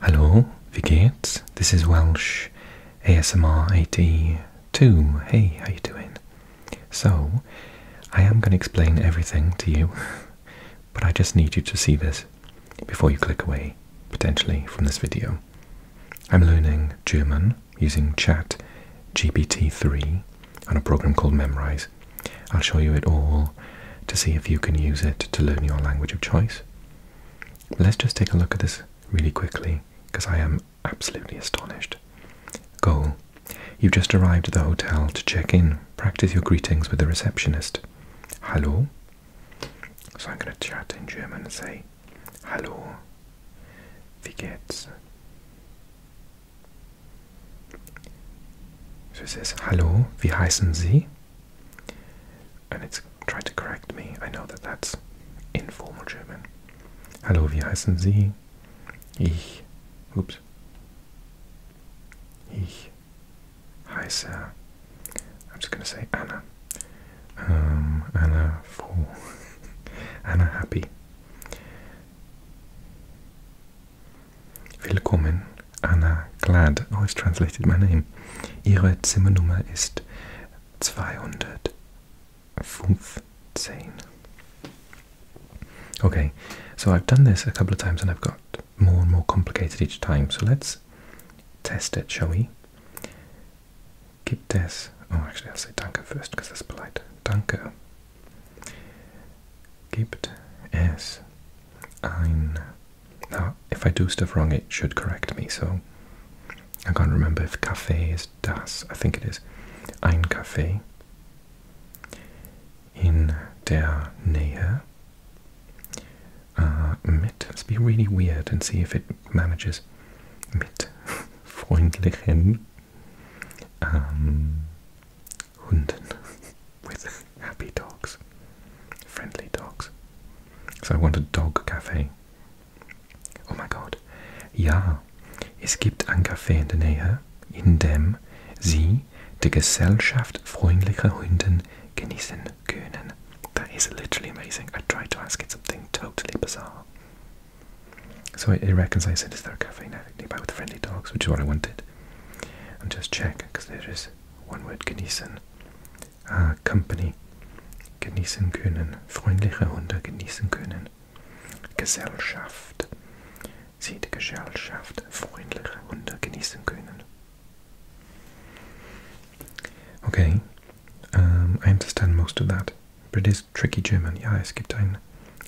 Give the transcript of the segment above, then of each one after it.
Hello, wie This is Welsh ASMR AD two. Hey, how you doing? So, I am going to explain everything to you, but I just need you to see this before you click away, potentially, from this video. I'm learning German using Chat GPT 3 and a program called Memrise. I'll show you it all to see if you can use it to learn your language of choice. Let's just take a look at this really quickly because I am absolutely astonished. Goal. You've just arrived at the hotel to check in. Practice your greetings with the receptionist. Hallo. So I'm going to chat in German and say, Hallo. Wie geht's? So it says, Hallo, wie heißen Sie? And it's trying to correct me. I know that that's informal German. Hello, wie heißen Sie? Ich. Oops. Ich Hi, sir. I'm just going to say Anna. Um, Anna Fool. Anna Happy. Willkommen Anna Glad. Oh, I've translated my name. Ihre Zimmernummer ist 215. Okay, so I've done this a couple of times and I've got more and more complicated each time. So let's test it, shall we? Gibt es... Oh, actually, I'll say danke first because that's polite. Danke. Gibt es ein now, if I do stuff wrong, it should correct me, so I can't remember if cafe is das. I think it is ein Café in der Nähe. Uh, mit. Let's be really weird and see if it manages. Mit freundlichen um, Hunden. With happy dogs, friendly dogs. So I want a dog cafe. Oh my god. Ja, es gibt ein Café in der Nähe, in dem Sie die Gesellschaft freundlicher Hunden genießen können. That is literally amazing. I tried to ask it something totally bizarre. So it reckons I said, is there a cafe nearby with friendly dogs, which is what I wanted. And just check, because there is one word, genießen. uh, Company genießen können, freundliche Hunde genießen können. Gesellschaft. Sie die Gesellschaft freundliche Hunde genießen können. Okay, um, I understand most of that. But it is tricky German. Ja, es gibt ein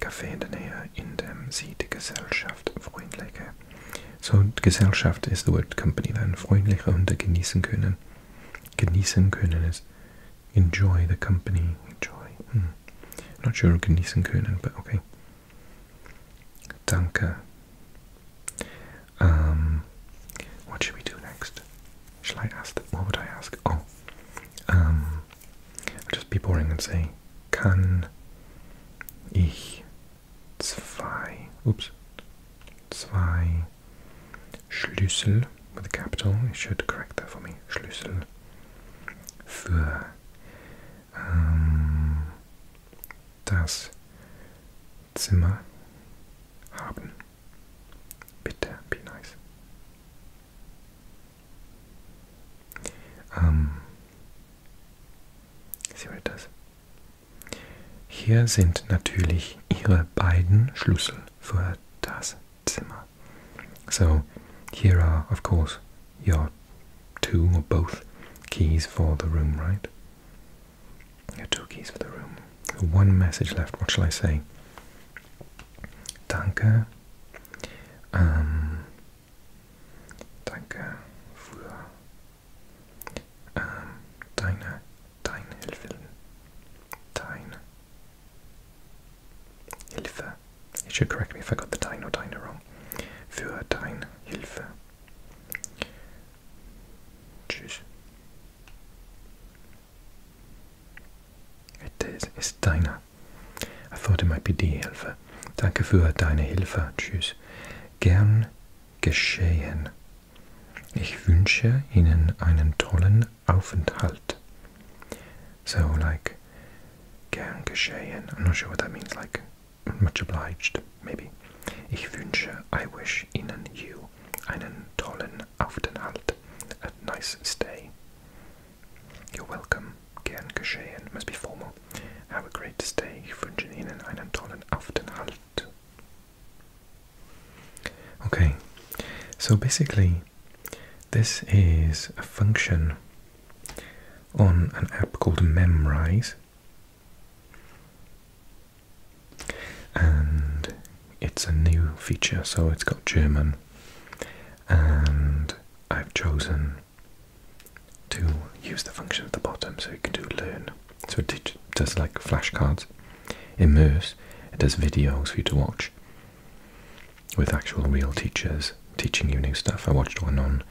Café in der Nähe, in dem sie die Gesellschaft freundliche so, Gesellschaft ist das Wort Company dann. Freundliche Hunde genießen können. Genießen können ist enjoy the company. Enjoy. Hmm. Not sure genießen können, but okay. Danke. Um, what should we do next? Shall I ask? That? What would I ask? Oh, um, I'll just be boring and say, kann ich zwei, ups, zwei Schlüssel with a capital. It should correct that for me. Schlüssel für ähm, das Zimmer haben. Bitte, be nice. Um, ähm, see what it does. Hier sind natürlich ihre beiden Schlüssel für das Zimmer. So, here are, of course, your two or both keys for the room, right? Your two keys for the room. One message left. What shall I say? Danke. Um, ähm, danke für ähm, deine, deine Hilfe, Hilfe. You should correct me if I got the dino dino wrong. Für deine Hilfe. Tschüss. It is, it's deine. I thought it might be die Hilfe. Danke für deine Hilfe. Tschüss. Gern geschehen. Ich wünsche Ihnen einen tollen Aufenthalt. So, like, gern geschehen. I'm not sure what that means, like, much obliged, maybe. Ich wünsche, I wish Ihnen, you, einen tollen Aufenthalt. A nice stay. You're welcome. Gern geschehen. Must be formal. Have a great stay. Ich wünsche Ihnen einen tollen Aufenthalt. Okay, so basically, this is a function on an app called Memrise, and it's a new feature, so it's got German, and I've chosen to use the function at the bottom so you can do learn. So it does like flashcards, immerse, it does videos for you to watch with actual real teachers teaching you new stuff. I watched one on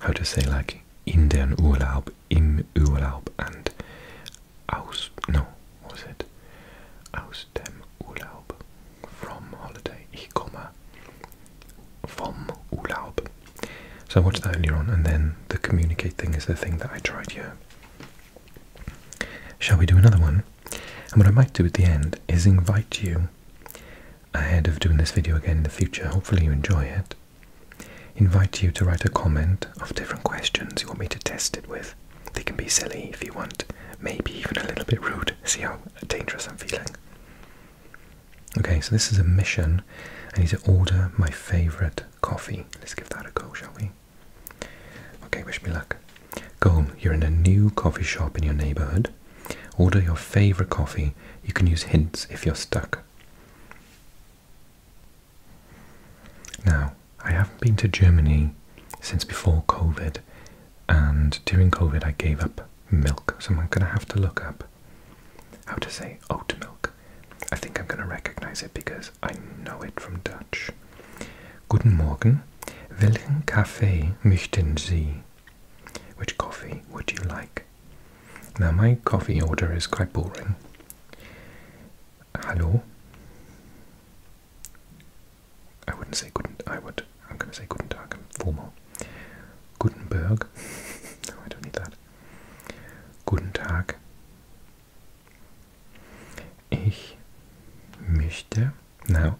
how to say like in Urlaub, im Urlaub and aus, no, was it? Aus dem Urlaub, from holiday, ich komme, Urlaub. So I watched that earlier on, and then the communicate thing is the thing that I tried here. Shall we do another one? And what I might do at the end is invite you, ahead of doing this video again in the future, hopefully you enjoy it, invite you to write a comment of different questions you want me to test it with. They can be silly if you want, maybe even a little bit rude. See how dangerous I'm feeling. Okay, so this is a mission. I need to order my favourite coffee. Let's give that a go, shall we? Okay, wish me luck. Go home. You're in a new coffee shop in your neighborhood. Order your favorite coffee. You can use hints if you're stuck. Now, I haven't been to Germany since before COVID, and during COVID I gave up milk, so I'm going to have to look up how to say oat milk. I think I'm going to recognize it because I know it from Dutch. Guten Morgen. Welchen Kaffee möchten Sie? Which coffee would you like? Now, my coffee order is quite boring. Hallo? I wouldn't say guten, I would, I'm going to say guten tag, I'm formal. no, I don't need that. Guten tag. Ich möchte. Now,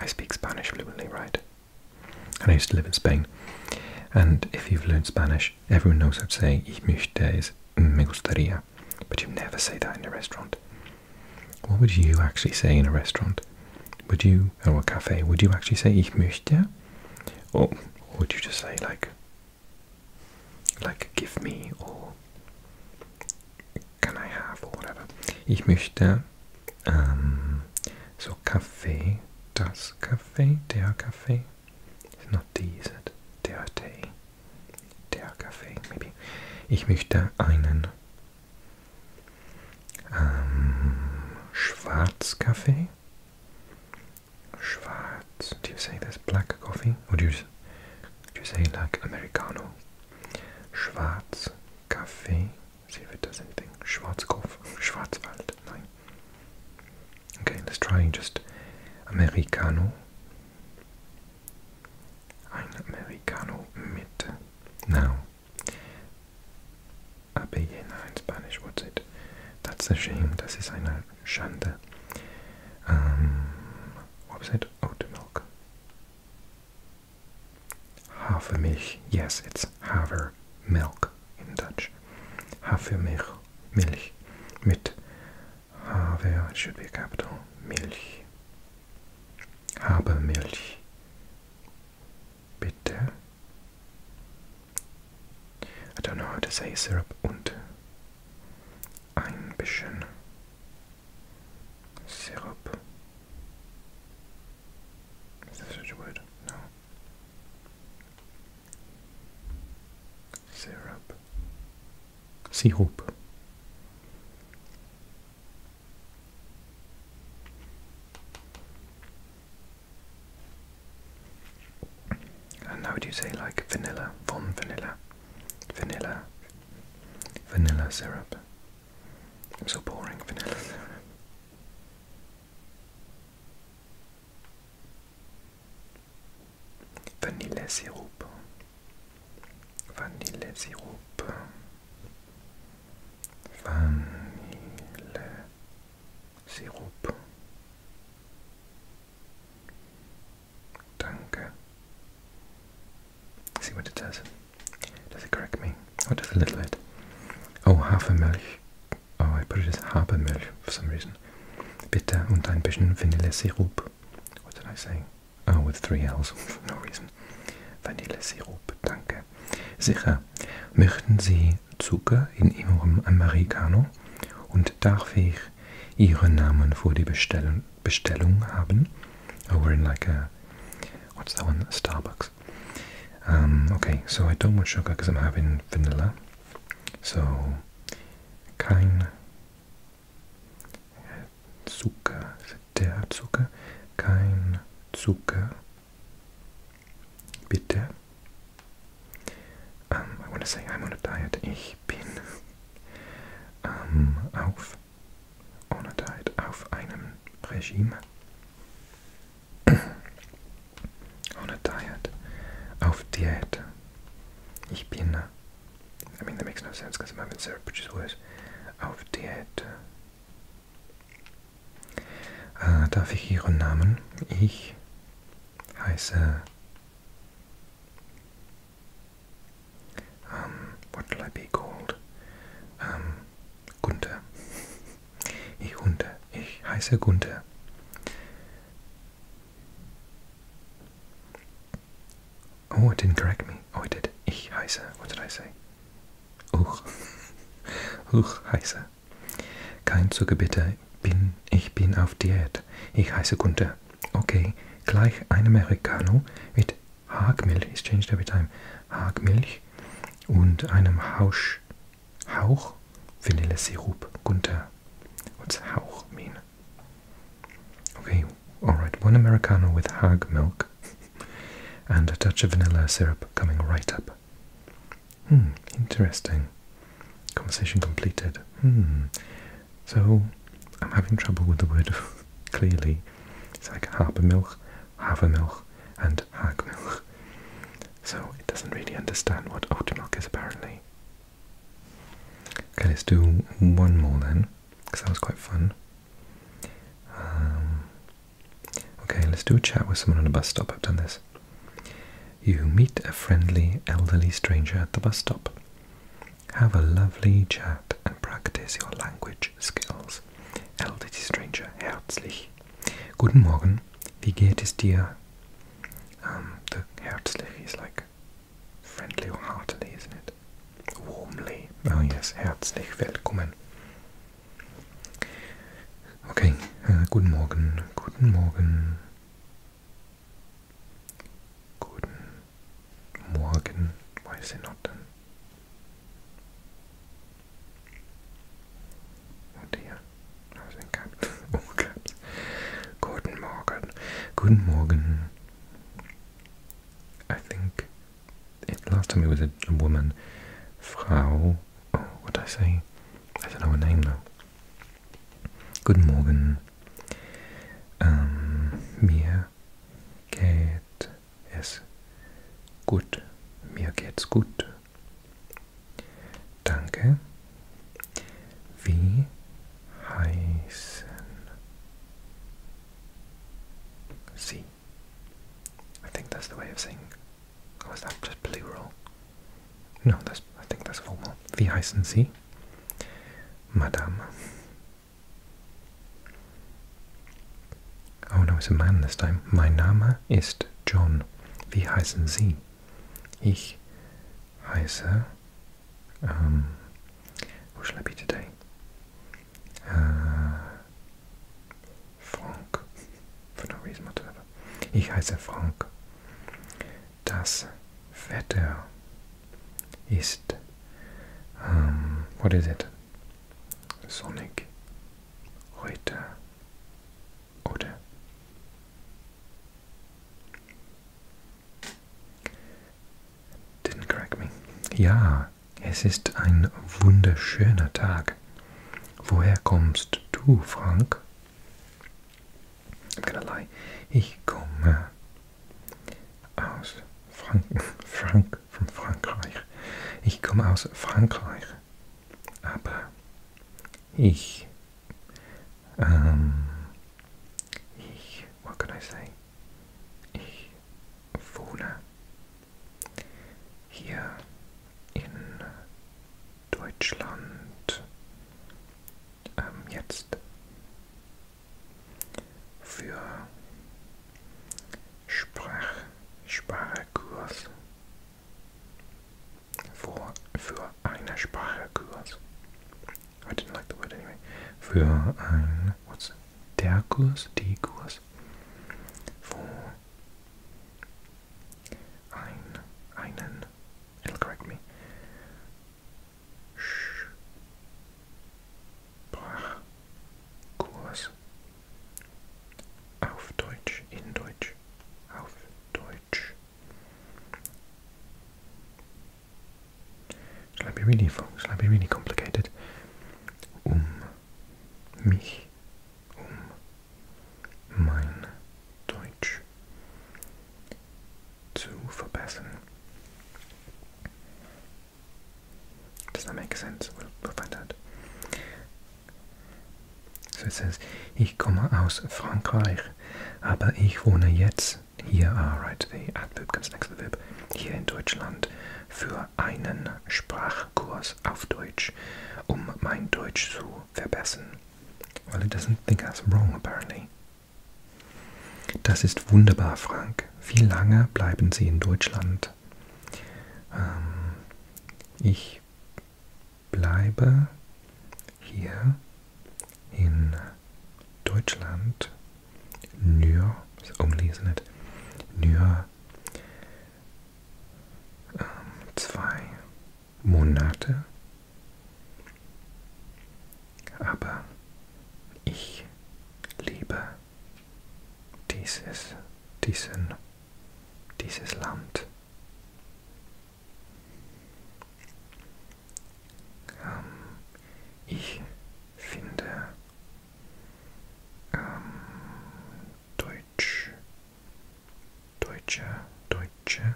I speak Spanish fluently, right? And I used to live in Spain. And if you've learned Spanish, everyone knows how to say ich möchte is me gustaría. But you never say that in a restaurant. What would you actually say in a restaurant? Would you, or a cafe, would you actually say ich möchte? or would you just say like like give me or can I have or whatever. Ich möchte ähm, so Kaffee, das Kaffee, der Kaffee, it's not tea, is it? Der Tee, der Kaffee, maybe. Ich möchte einen ähm, Schwarzkaffee Schwarz. Do you say this black coffee? Or do you, say like Americano? Schwarz Kaffee. See if it does anything. Schwarz Schwarzkopf. Schwarzwald. Nein. Okay, let's try just Americano. Ein Americano mit. Now, Abellena in Spanish, what's it? That's a shame, That's ist eine Shanda. Um, what was it? Oat milk. Hafermilch. Yes, it's Haver milk in Dutch. Hafermilch. Milch. Mit Haver, it should be a capital. Milch. Half a milk. Bitte. I don't know how to say syrup und ein bisschen syrup. Is there such a word? No. Syrup. Syrup. And how would you say like vanilla, von vanilla, vanilla, vanilla syrup? I'm so boring, vanilla syrup. Vanilla syrup. Vanilla syrup. vanilla syrup. Danke. See what it does. Does it correct me? Or oh, does it little bit? Oh, Hafermilch. Oh, I put it as Habermilch for some reason. Bitter und ein bisschen Vanillesirup. What did I say? Oh, with three L's for no reason. Vanillesirup, danke. Sicher. Möchten Sie Zucker in Ihrem Americano? Und darf ich ihren Namen für die Bestellung, Bestellung haben. Oh, we're in like a, what's that one, Starbucks. Um, okay, so I don't want sugar because I'm having vanilla. So, kein Zucker, der Zucker, kein Zucker, bitte. Um, ähm, I want to say I'm on a diet. Ich bin um, ähm, auf on a diet, auf einem Regime. on a diet, auf Diät. Ich bin, äh, I mean that makes no sense because I'm having syrup, which is worse. Auf Diät. Uh, darf ich Ihren Namen? Ich Heiße. Um, what will I be called? Um, ähm, Gunther. Ich Hunter. Ich heiße Gunther. Oh, it didn't correct me. Oh, it did. Ich heiße. What did I say? Uch. Uch heiße. Kein Zuckerbitter bin, ich bin auf Diät. Ich heiße Gunther. Okay, gleich ein Americano mit Haarmilch. Ich change every time. Haarmilch und einem Hausch, Hauch Vanillesirup. Gunther. What's Hauch mean? Okay, alright. One Americano with Hag milk and a touch of vanilla syrup coming right up. Hmm, interesting. Conversation completed. Hmm. So, I'm having trouble with the word clearly. It's like half half milk, a milk, and half milk. So, it doesn't really understand what Oatmilk is apparently. Okay, let's do one more then, because that was quite fun. Um, okay, let's do a chat with someone on a bus stop. I've done this. You meet a friendly elderly stranger at the bus stop. Have a lovely chat and practice your language skills. Elderly Stranger, herzlich. Guten Morgen, wie geht es dir? Um, the herzlich is like friendly or heartily, isn't it? Warmly. Oh yes, herzlich willkommen. Okay, uh, guten Morgen, guten Morgen. Guten Morgen, why is it not done? Oh dear, I was in caps. All caps. Guten Morgen, Guten I think last time it was a, woman, Frau. Oh, what did I say? I don't know her name now. Good Morgen. Ähm, mir geht es gut. Mir geht's gut. Danke. Wie heißen Sie? I think that's the way of saying. Or oh, is that just plural? No, das, I think that's formal. Wie heißen Sie? Madame. Oh no, it's a man this time. Mein Name ist John. Wie heißen Sie? Ich heiße. Um, what shall I be today? Uh, Frank. For no reason whatsoever. Ich heiße Frank das Wetter ist, um, ähm, what is it? Sonnig heute oder? Didn't correct me. Ja, es ist ein wunderschöner Tag. Woher kommst du, Frank? I'm gonna lie. Ich komme aus Franken, Frank, von Frankreich. Ich komme aus Frankreich. Aber ich, ähm, ich, what can I say? Ich wohne hier in Deutschland ähm, jetzt für Sprach, Sprachkurs für, für einen Sprachkurs. I didn't like the word anyway. Für ein, what's der Kurs, die Kurs, für ein, einen, it'll correct me, Sprachkurs auf Deutsch, in Deutsch, auf Deutsch. Shall I be really fun? Shall I be really complicated? Um mich, um mein Deutsch zu verbessern. Does that make sense? We'll, we'll find out. So it says, ich komme aus Frankreich, aber ich wohne jetzt hier, ah, right, the adverb comes next to the verb, hier in Deutschland für einen Sprachkurs auf Deutsch, um mein Deutsch zu verbessern. Well, it doesn't think that's wrong, apparently. Das ist wunderbar, Frank. Wie lange bleiben Sie in Deutschland? Ähm, ich bleibe hier in Deutschland nur, umlesen nicht, nur ähm, zwei Monate aber ich liebe dieses, diesen, dieses Land. Ähm, ich finde ähm, Deutsch, Deutsche, Deutsche.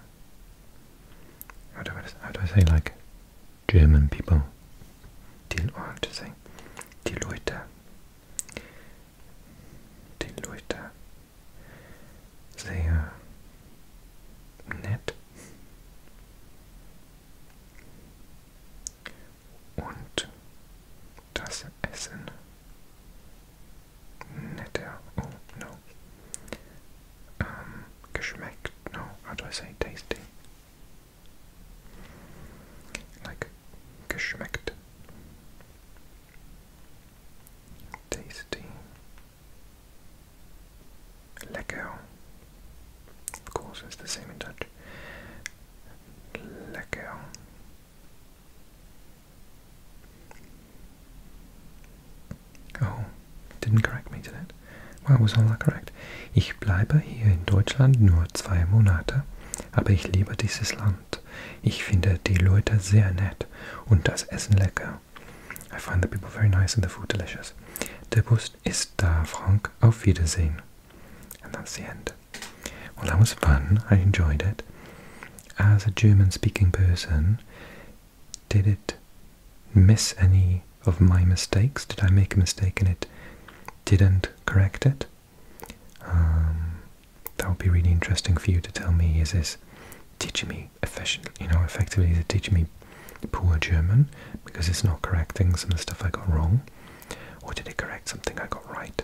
How do I, how do I say like German people die Leute sagen, die Leute, die Leute sehr nett und das Essen netter, oh no, um, no, how do I say tasty? Like, geschmeckt. Tasty. Lecker. Of course, it's the same in Dutch. Lecker. Oh, didn't correct me to that. Wow, was all that correct? Ich bleibe hier in Deutschland nur zwei Monate, aber ich liebe dieses Land. Ich finde die Leute sehr nett und das Essen lecker. I find the people very nice and the food delicious. Der Bus ist da, Frank. Auf Wiedersehen. And that's the end. Well, that was fun. I enjoyed it. As a German speaking person, did it miss any of my mistakes. Did I make a mistake and it didn't correct it? Um, that would be really interesting for you to tell me. Is this teaching me efficient? You know, effectively, is it teaching me poor German because it's not correcting some of the stuff I got wrong, or did it correct something I got right?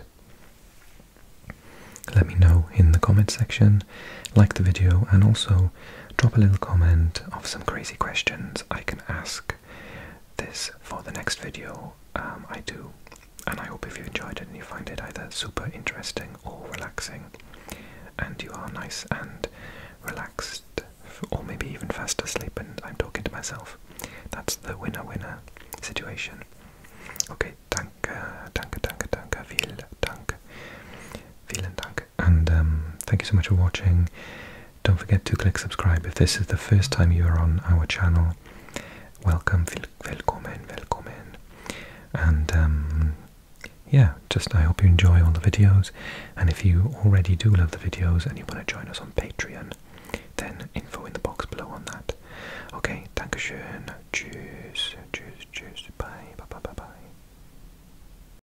Let me know in the comment section. Like the video and also drop a little comment of some crazy questions I can ask this for the next video um, I do. And I hope if you enjoyed it and you find it either super interesting or relaxing, and you are nice and relaxed, or maybe even fast asleep, and I'm talking to myself. That's the winner winner situation. Okay, danke, danke, danke, danke, viel Dank. Vielen Dank. And um, thank you so much for watching. Don't forget to click subscribe if this is the first time you are on our channel. Welcome, willkommen, willkommen. And um, yeah, just I hope you enjoy all the videos. And if you already do love the videos and you want to join us on Patreon, then info in the box below on that. Okay, Dankeschön. Tschüss, tschüss, tschüss. Bye, bye, bye, bye, bye.